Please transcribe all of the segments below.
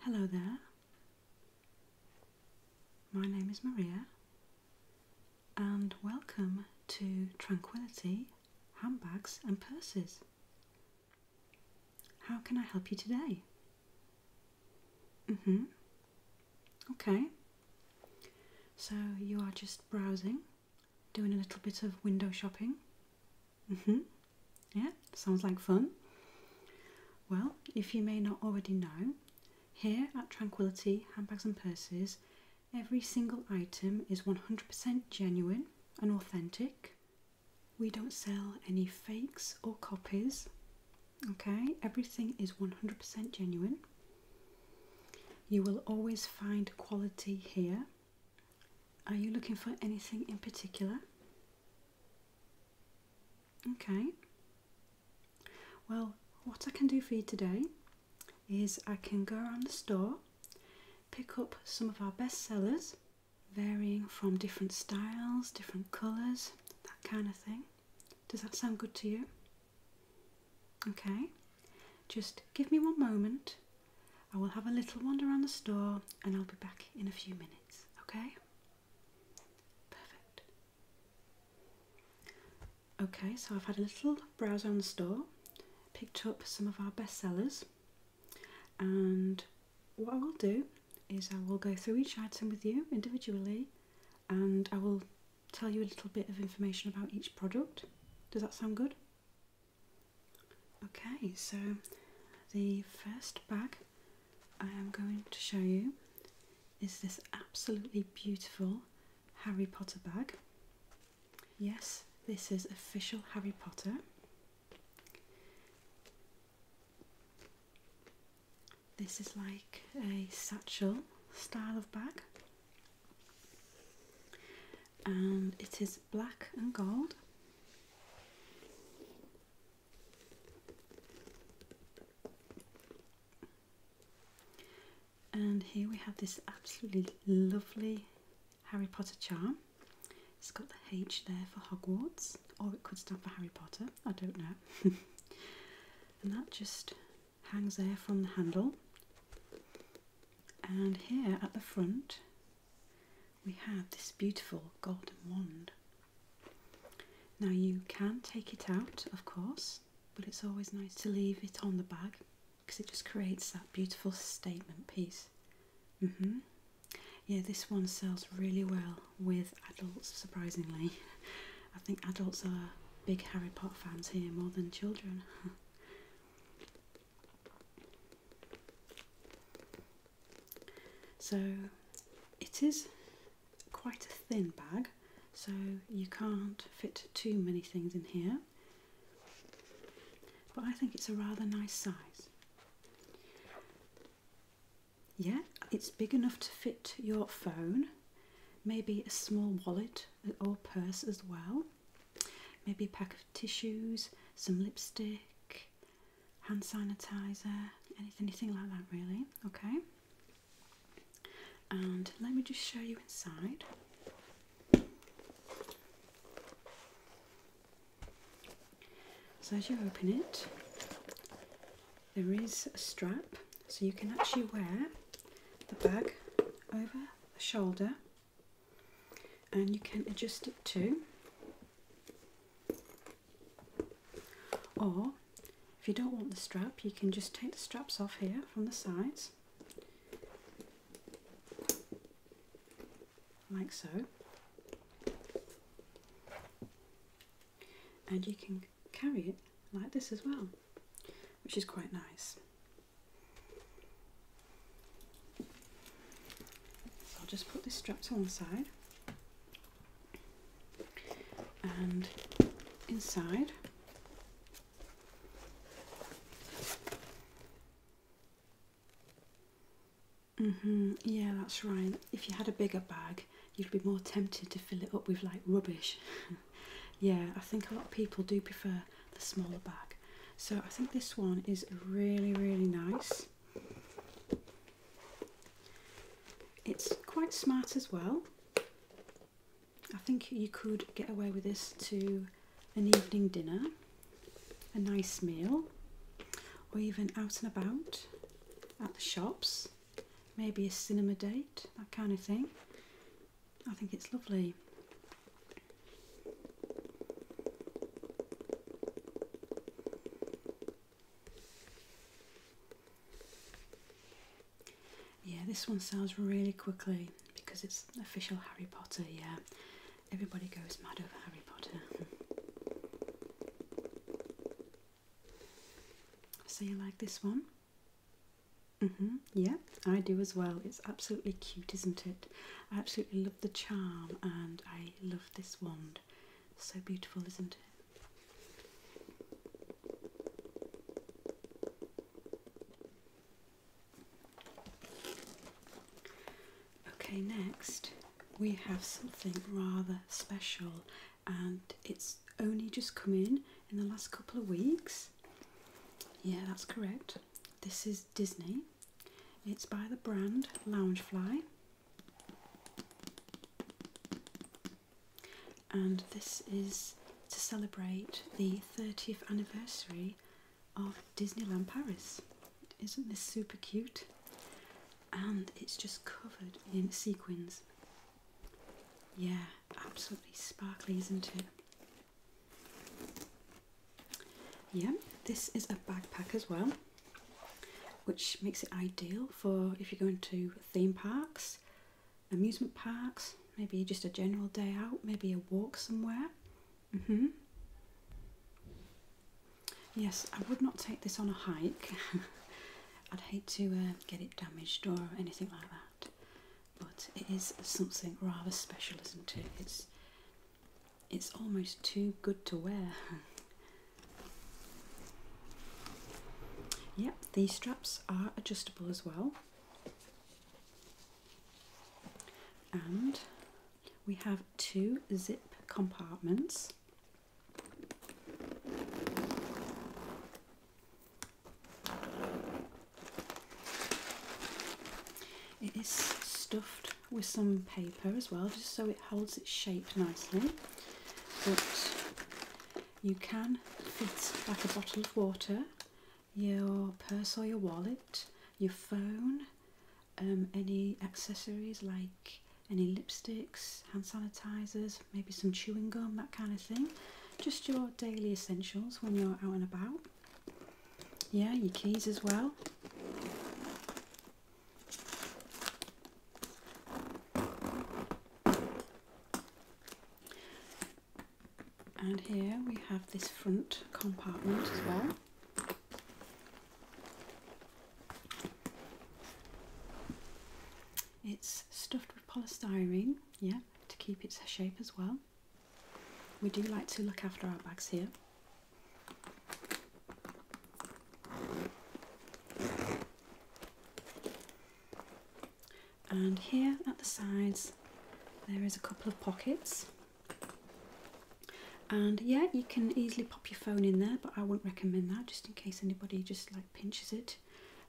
Hello there. My name is Maria, and welcome to Tranquility Handbags and Purses. How can I help you today? Mm hmm. Okay. So you are just browsing, doing a little bit of window shopping. Mm-hmm. Yeah, sounds like fun. Well, if you may not already know, here at Tranquility Handbags and Purses, every single item is 100% genuine and authentic. We don't sell any fakes or copies. Okay, everything is 100% genuine. You will always find quality here. Are you looking for anything in particular? Okay. Well, what I can do for you today is I can go around the store, pick up some of our best sellers, varying from different styles, different colours, that kind of thing. Does that sound good to you? Okay. Just give me one moment. I will have a little wander around the store and I'll be back in a few minutes, okay? Perfect. Okay, so I've had a little browse on the store, picked up some of our best sellers, and what I will do is I will go through each item with you individually and I will tell you a little bit of information about each product. Does that sound good? Okay, so the first bag I am going to show you is this absolutely beautiful Harry Potter bag. Yes, this is official Harry Potter. This is like a satchel style of bag and it is black and gold and here we have this absolutely lovely Harry Potter charm. It's got the H there for Hogwarts, or it could stand for Harry Potter, I don't know. and that just hangs there from the handle. And here at the front, we have this beautiful golden wand. Now you can take it out, of course, but it's always nice to leave it on the bag because it just creates that beautiful statement piece. Mm-hmm. Yeah, this one sells really well with adults, surprisingly. I think adults are big Harry Potter fans here more than children. So it is quite a thin bag, so you can't fit too many things in here, but I think it's a rather nice size. Yeah, it's big enough to fit your phone, maybe a small wallet or purse as well, maybe a pack of tissues, some lipstick, hand sanitizer, anything, like that, really. Okay, and let me just show you inside. So, as you open it, there is a strap so you can actually wear the bag over the shoulder and you can adjust it too or if you don't want the strap, you can just take the straps off here from the sides, like so. And you can carry it like this as well, which is quite nice. I'll just put this strap to one side and inside Mm -hmm. Yeah, that's right. If you had a bigger bag, you'd be more tempted to fill it up with like rubbish. yeah, I think a lot of people do prefer the smaller bag. So I think this one is really, really nice. It's quite smart as well. I think you could get away with this to an evening dinner, a nice meal, or even out and about at the shops, maybe a cinema date, that kind of thing. I think it's lovely. Yeah, this one sells really quickly because it's official Harry Potter. Yeah, everybody goes mad over Harry Potter. So you like this one? Mm-hmm. Yeah, I do as well. It's absolutely cute, isn't it? I absolutely love the charm and I love this wand so beautiful, isn't it? Okay, next we have something rather special, and it's only just come in in the last couple of weeks. Yeah, that's correct. This is Disney. It's by the brand Loungefly, and this is to celebrate the 30th anniversary of Disneyland Paris. Isn't this super cute? And it's just covered in sequins. Yeah, absolutely sparkly, isn't it? Yeah, this is a backpack as well which makes it ideal for if you're going to theme parks, amusement parks, maybe just a general day out, maybe a walk somewhere. Mm -hmm. Yes, I would not take this on a hike. I'd hate to uh, get it damaged or anything like that. But it is something rather special, isn't it? It's it's almost too good to wear. Yep, these straps are adjustable as well. And we have two zip compartments. It is stuffed with some paper as well, just so it holds its shape nicely. But you can fit like a bottle of water, your purse or your wallet, your phone, um, any accessories like any lipsticks, hand sanitizers, maybe some chewing gum, that kind of thing. Just your daily essentials when you're out and about. Yeah, your keys as well. And here we have this front compartment as well. It's stuffed with polystyrene, yeah, to keep its shape as well. We do like to look after our bags here and here at the sides there is a couple of pockets and yeah you can easily pop your phone in there but I wouldn't recommend that just in case anybody just like pinches it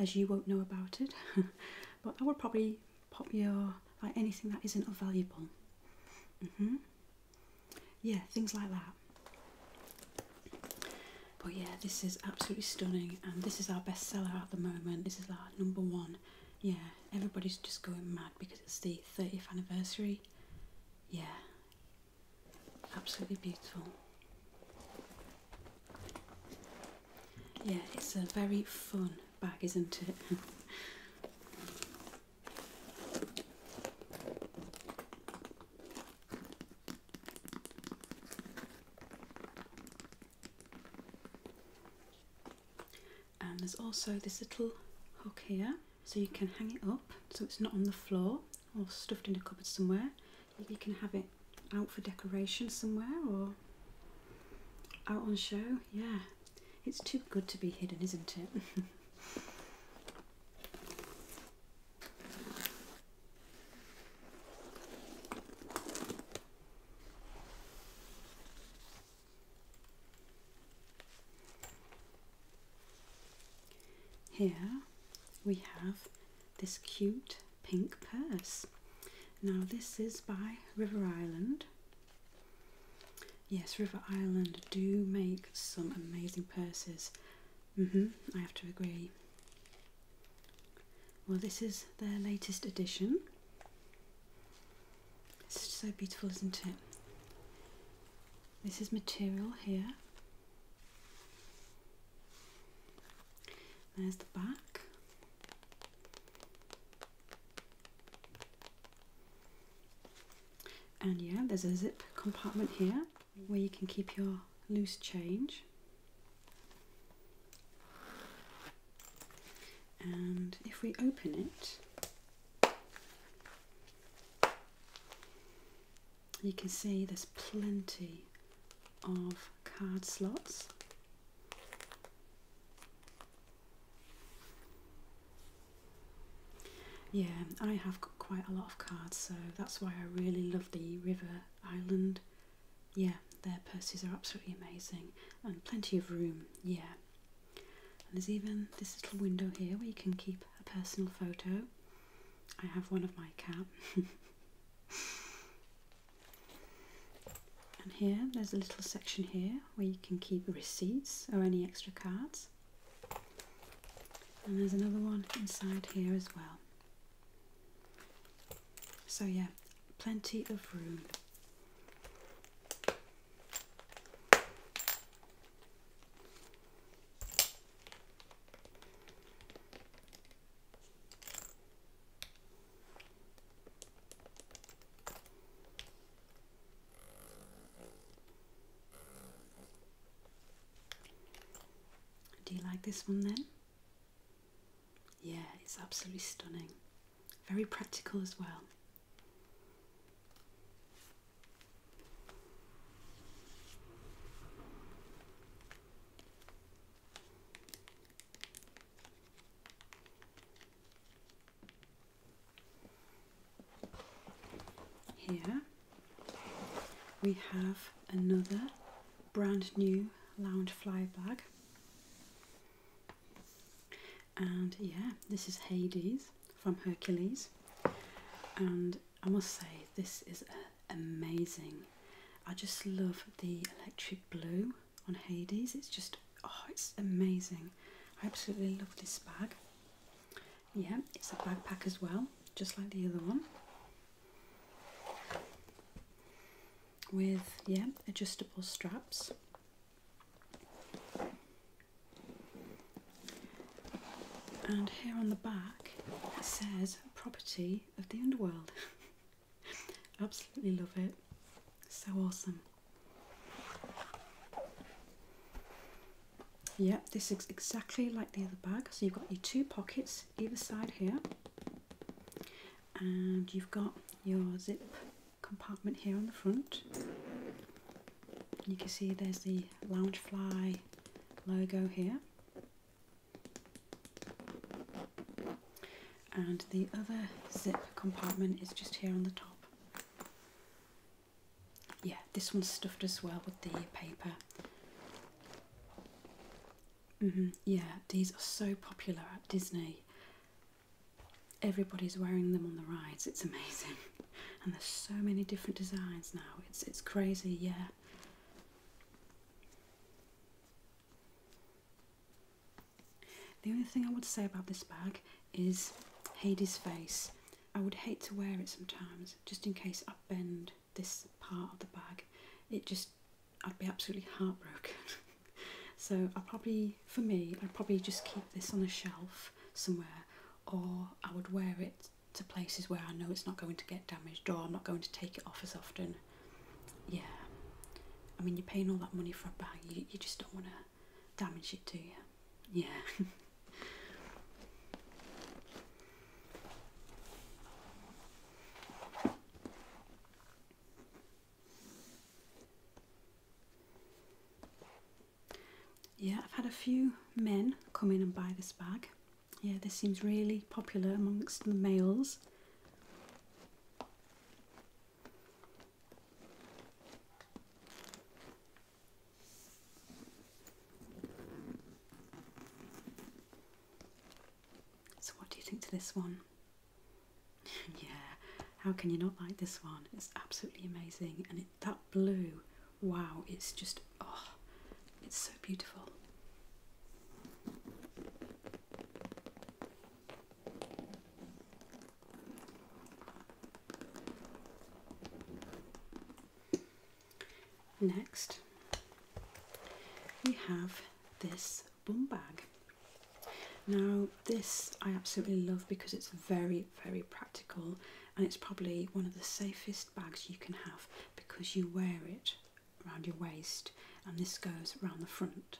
as you won't know about it but I would probably pop your like anything that isn't of valuable mm -hmm. yeah things like that but yeah, this is absolutely stunning, and this is our bestseller at the moment. This is our number one. Yeah, everybody's just going mad because it's the 30th anniversary. Yeah, absolutely beautiful. Yeah, it's a very fun bag, isn't it? And there's also this little hook here, so you can hang it up so it's not on the floor or stuffed in a cupboard somewhere. You can have it out for decoration somewhere or out on show. Yeah, it's too good to be hidden, isn't it? Here we have this cute pink purse. Now this is by River Island. Yes, River Island do make some amazing purses. Mm -hmm, I have to agree. Well, this is their latest edition. It's so beautiful, isn't it? This is material here. There's the back. And yeah, there's a zip compartment here where you can keep your loose change. And if we open it, you can see there's plenty of card slots. Yeah, I have got quite a lot of cards, so that's why I really love the River Island yeah, their purses are absolutely amazing and plenty of room. Yeah. And there's even this little window here where you can keep a personal photo. I have one of my cat. and here, there's a little section here where you can keep receipts or any extra cards. And there's another one inside here as well. So, yeah, plenty of room. Do you like this one then? Yeah, it's absolutely stunning. Very practical as well. Here we have another brand new lounge fly bag. And yeah, this is Hades from Hercules, and I must say, this is amazing. I just love the electric blue on Hades, it's just oh, it's amazing. I absolutely love this bag. Yeah, it's a backpack as well, just like the other one with yeah adjustable straps and here on the back it says property of the underworld absolutely love it so awesome Yep, this is exactly like the other bag. So you've got your two pockets either side here and you've got your zip compartment here on the front you can see there's the Loungefly logo here and the other zip compartment is just here on the top yeah this one's stuffed as well with the paper Mm -hmm. Yeah, these are so popular at Disney. Everybody's wearing them on the rides. It's amazing, and there's so many different designs now. It's it's crazy. Yeah. The only thing I would say about this bag is Hades' face. I would hate to wear it sometimes, just in case I bend this part of the bag. It just I'd be absolutely heartbroken. so I probably, for me, I'd probably just keep this on a shelf somewhere, or I would wear it to places where I know it's not going to get damaged, or I'm not going to take it off as often. Yeah, I mean, you're paying all that money for a bag, you, you just don't want to damage it, do you? Yeah. Yeah, I've had a few men come in and buy this bag. Yeah, this seems really popular amongst the males. So, what do you think to this one? yeah, how can you not like this one? It's absolutely amazing, and that blue, wow, it's just oh, it's so beautiful. Next, we have this bum bag. Now this I absolutely love because it's very very practical and it's probably one of the safest bags you can have because you wear it around your waist and this goes around the front.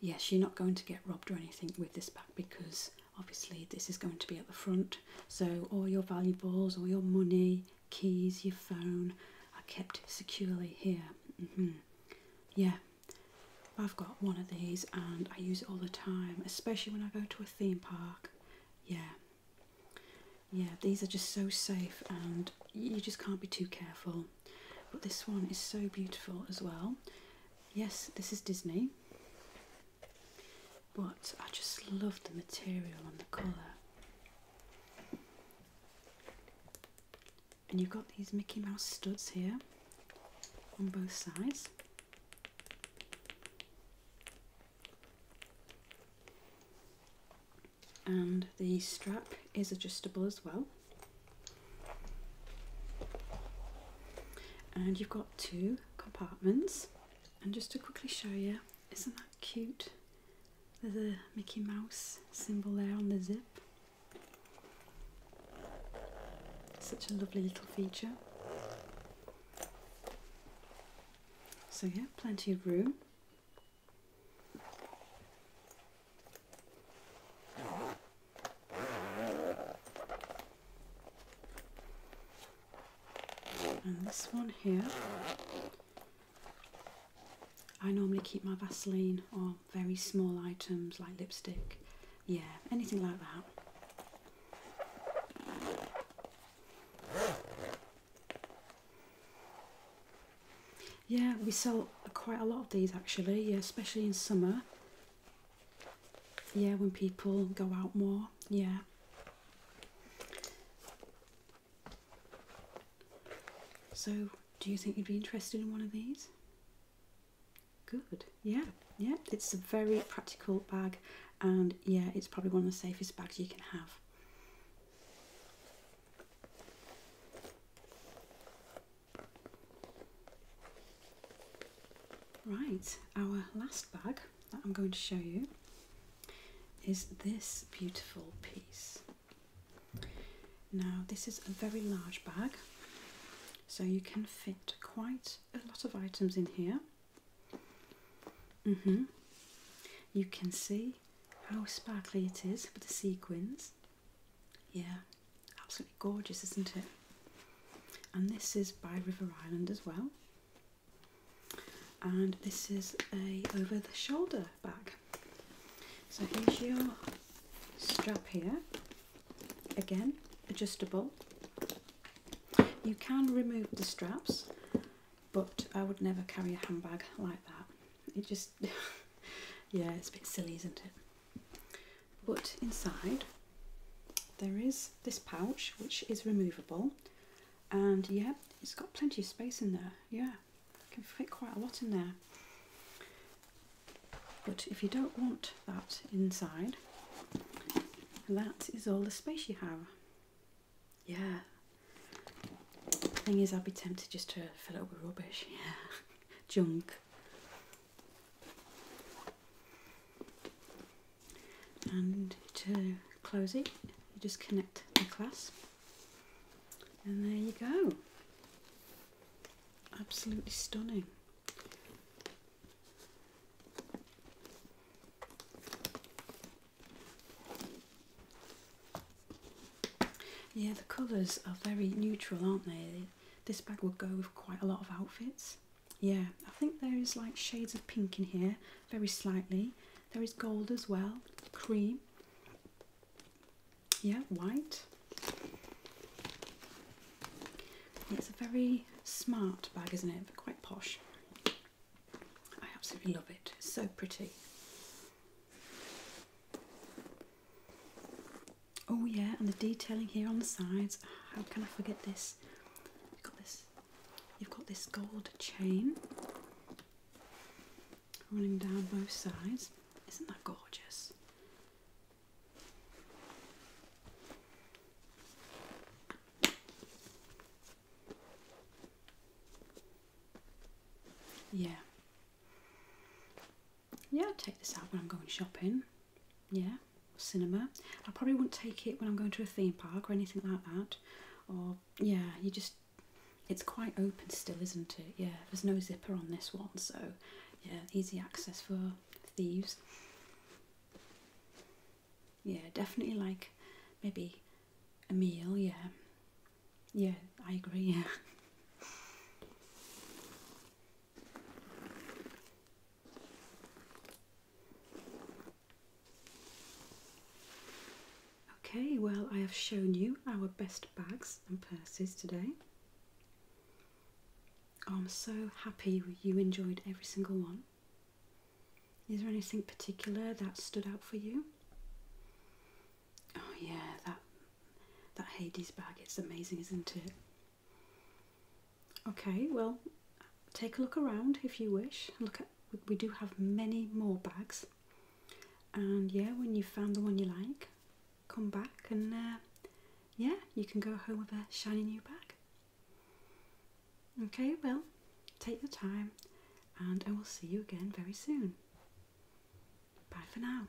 Yes, you're not going to get robbed or anything with this bag because obviously this is going to be at the front so all your valuables, all your money, keys, your phone are kept securely here. Mm-hmm. Yeah, I've got one of these and I use it all the time, especially when I go to a theme park. Yeah, yeah, these are just so safe and you just can't be too careful. But this one is so beautiful as well. Yes, this is Disney, but I just love the material and the colour and you've got these Mickey Mouse studs here on both sides. And the strap is adjustable as well. And you've got two compartments. And just to quickly show you, isn't that cute? There's a Mickey Mouse symbol there on the zip. Such a lovely little feature. So, yeah, plenty of room. And this one here I normally keep my Vaseline or very small items like lipstick, yeah, anything like that. Yeah, we sell quite a lot of these actually, yeah, especially in summer. Yeah, when people go out more, yeah. So do you think you'd be interested in one of these? Good, yeah, yeah. It's a very practical bag, and yeah, it's probably one of the safest bags you can have. Right, our last bag that I'm going to show you is this beautiful piece. Now, this is a very large bag, so you can fit quite a lot of items in here. Mm-hmm. You can see how sparkly it is with the sequins. Yeah, absolutely gorgeous, isn't it? And this is by River Island as well. And this is a over the shoulder back. So here's your strap here. Again, adjustable. You can remove the straps, but I would never carry a handbag like that. It just, yeah, it's a bit silly, isn't it? But inside, there is this pouch, which is removable. And yeah, it's got plenty of space in there, yeah can fit quite a lot in there. But if you don't want that inside, that is all the space you have. Yeah. the Thing is, I'd be tempted just to fill it with rubbish. Yeah, junk. And to close it, you just connect the clasp, and there you go. Absolutely stunning. Yeah, the colours are very neutral, aren't they? This bag would go with quite a lot of outfits. Yeah, I think there is like shades of pink in here, very slightly. There is gold as well, cream yeah, white. It's a very smart bag, isn't it? quite posh. I absolutely love it. It's so pretty. Oh yeah, and the detailing here on the sides. How can I forget this? You've got this. You've got this gold chain running down both sides. Isn't that gorgeous? Yeah. Yeah, I'll take this out when I'm going shopping. Yeah, cinema. I probably wouldn't take it when I'm going to a theme park or anything like that. Or, yeah, you just, it's quite open still, isn't it? Yeah, there's no zipper on this one, so yeah, easy access for thieves. Yeah, definitely like maybe a meal, yeah. Yeah, I agree, yeah. Okay, well, I have shown you our best bags and purses today. I'm so happy you enjoyed every single one. Is there anything particular that stood out for you? Oh yeah, that that Hades bag, it's amazing, isn't it? Okay, well, take a look around if you wish. Look at we do have many more bags. And yeah, when you found the one you like, come back and uh, yeah, you can go home with a shiny new bag. Okay, well, take your time and I will see you again very soon. Bye for now.